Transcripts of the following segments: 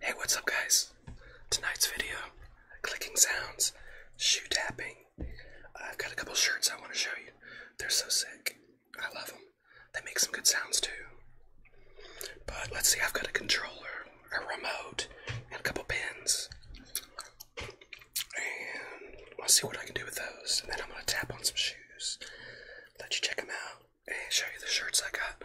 Hey, what's up, guys? Tonight's video clicking sounds, shoe tapping. I've got a couple shirts I want to show you. They're so sick. I love them. They make some good sounds too. But let's see, I've got a controller, a remote, and a couple pins. And I'll see what I can do with those. And then I'm going to tap on some shoes, let you check them out. Hey, show you the shirts I got.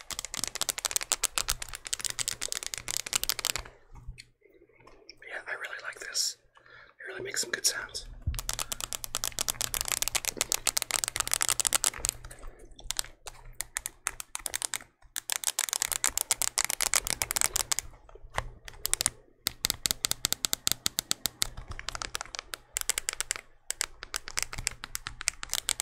Yeah, I really like this. It really makes some good sounds.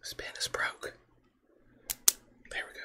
This pen is broke. There we go.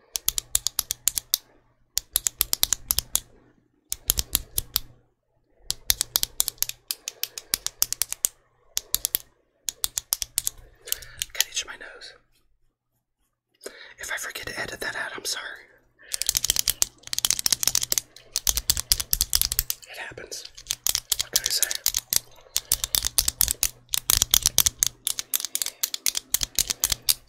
Can itch my nose. If I forget to edit that out, I'm sorry. It happens. What can I say?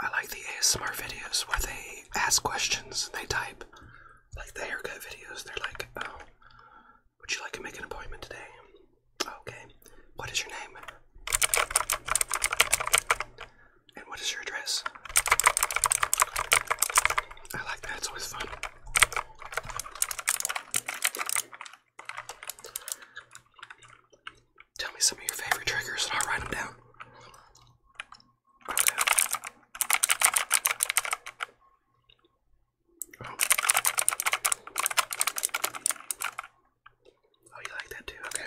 I like the ASMR videos where they ask questions, they type. Like the haircut videos, they're like, oh, would you like to make an appointment today? Oh, okay. What is your name? And what is your address? I like that, it's always fun. Tell me some of your favorite triggers and I'll write them down. oh, you like that too? Okay.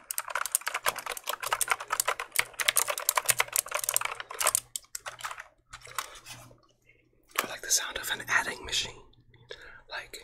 I like the sound of an adding machine. Like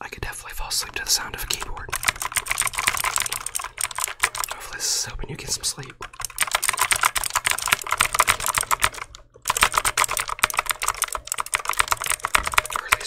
I could definitely fall asleep to the sound of a keyboard. Hopefully, this is helping you get some sleep. Or at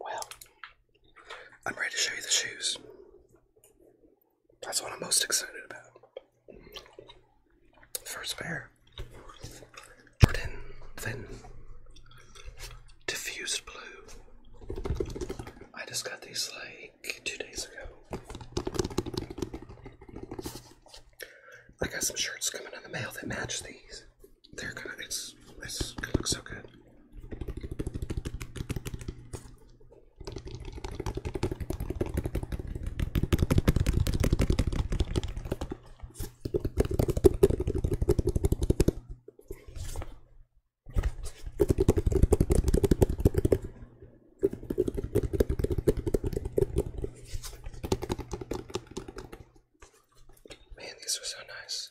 Well, I'm ready to show you the shoes. That's what I'm most excited about. First pair Jordan Thin Diffused Blue. I just got these like two days ago. I got some shirts coming in the mail that match these. They're gonna, it's, it's gonna look so good. Man, these are so nice.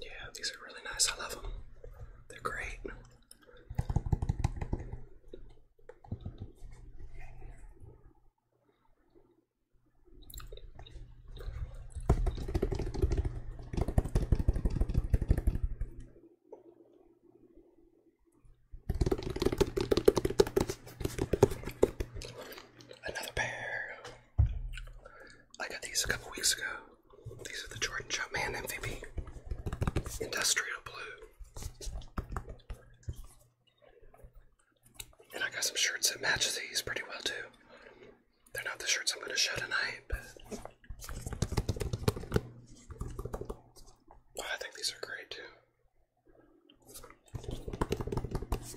Yeah, these are really nice. I love them. They're great. Another pair. I got these a couple weeks ago. These are the Jordan Jumpman MVP Industrial Blue. And I got some shirts that match these pretty well too. They're not the shirts I'm going to show tonight, but. Oh, I think these are great too.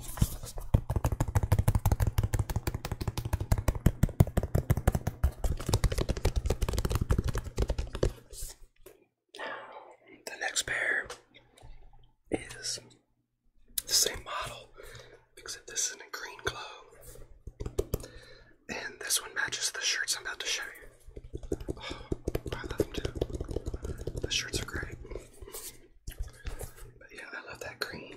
The next pair is the same model, except this is in a green glow. And this one matches the shirts I'm about to show you. Oh, I love them too. The shirts are great. But yeah, I love that green.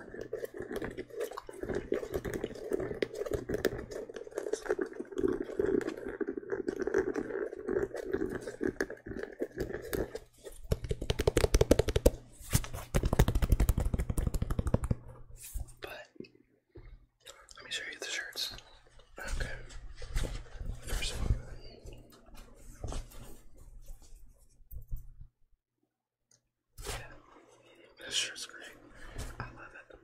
But let me show you the shirts. Okay. First one. Yeah. This shirt's great. I love it.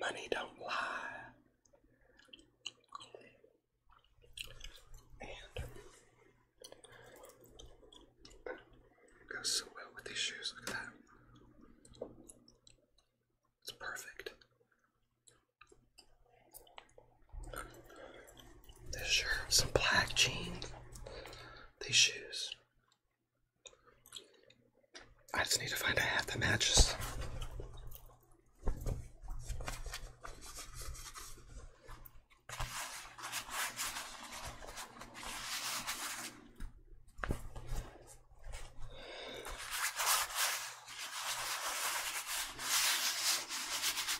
Money don't lie. And goes so well with these shoes. Look at that. It's perfect. This shirt, some black jeans, these shoes. I just need to find a hat that matches.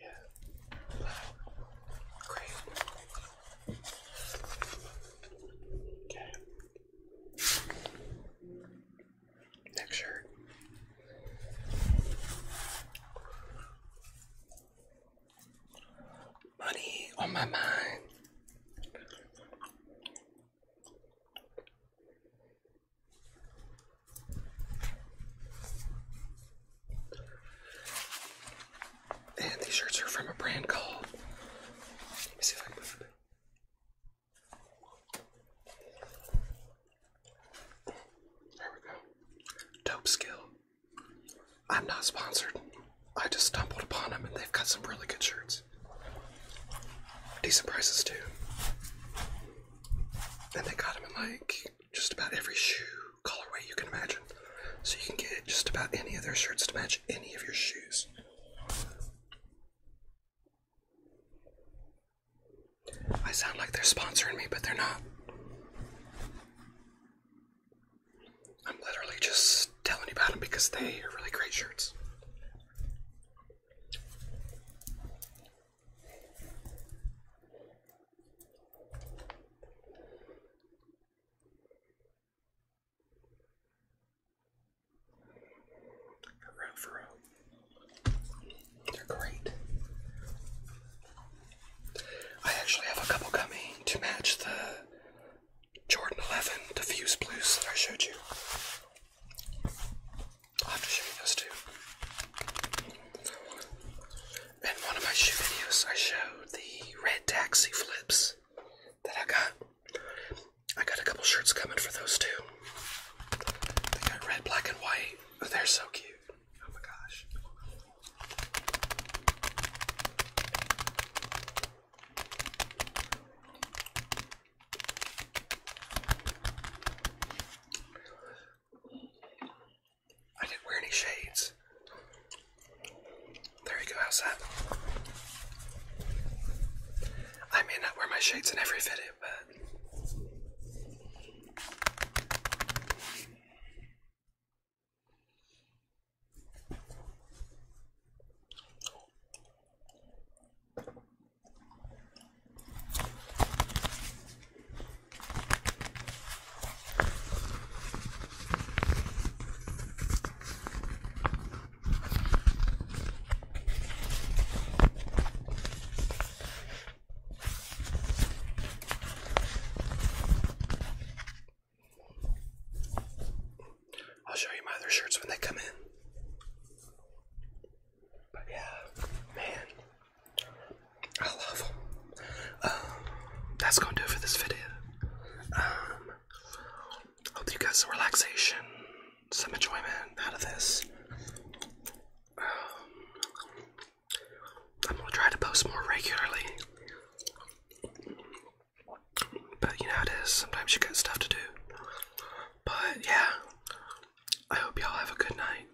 Yeah. Wow. Great. Okay. Money on my mind. And these shirts are from a brand called. There we go. Dope Skill. I'm not sponsored. I just stumbled upon them and they've got some really good shirts. Decent prices too. And they got them in like just about every shoe colorway you can imagine. So you can get just about any of their shirts to match any of your shoes. I sound like they're sponsoring me, but they're not. I'm literally just telling you about them because they are really great shirts. Row for row. They're great. I actually have a couple coming to match the Jordan 11 diffuse blues that I showed you. I'll have to show you those too. In one of my shoe videos, I showed the red taxi flips that I got. I got a couple shirts coming for those too. They got red, black, and white. they're so cute. Oh my gosh. I didn't wear any shades. There you go, how's I may not wear my shades in every video, but. I'll show you my other shirts when they come in. But yeah, man, I love them. Um, that's gonna do it for this video. Um, um, hope you guys some relaxation, some enjoyment out of this. Um, I'm gonna try to post more regularly. But you know it is, sometimes you get stuff to do. But yeah, I hope y'all have a good night.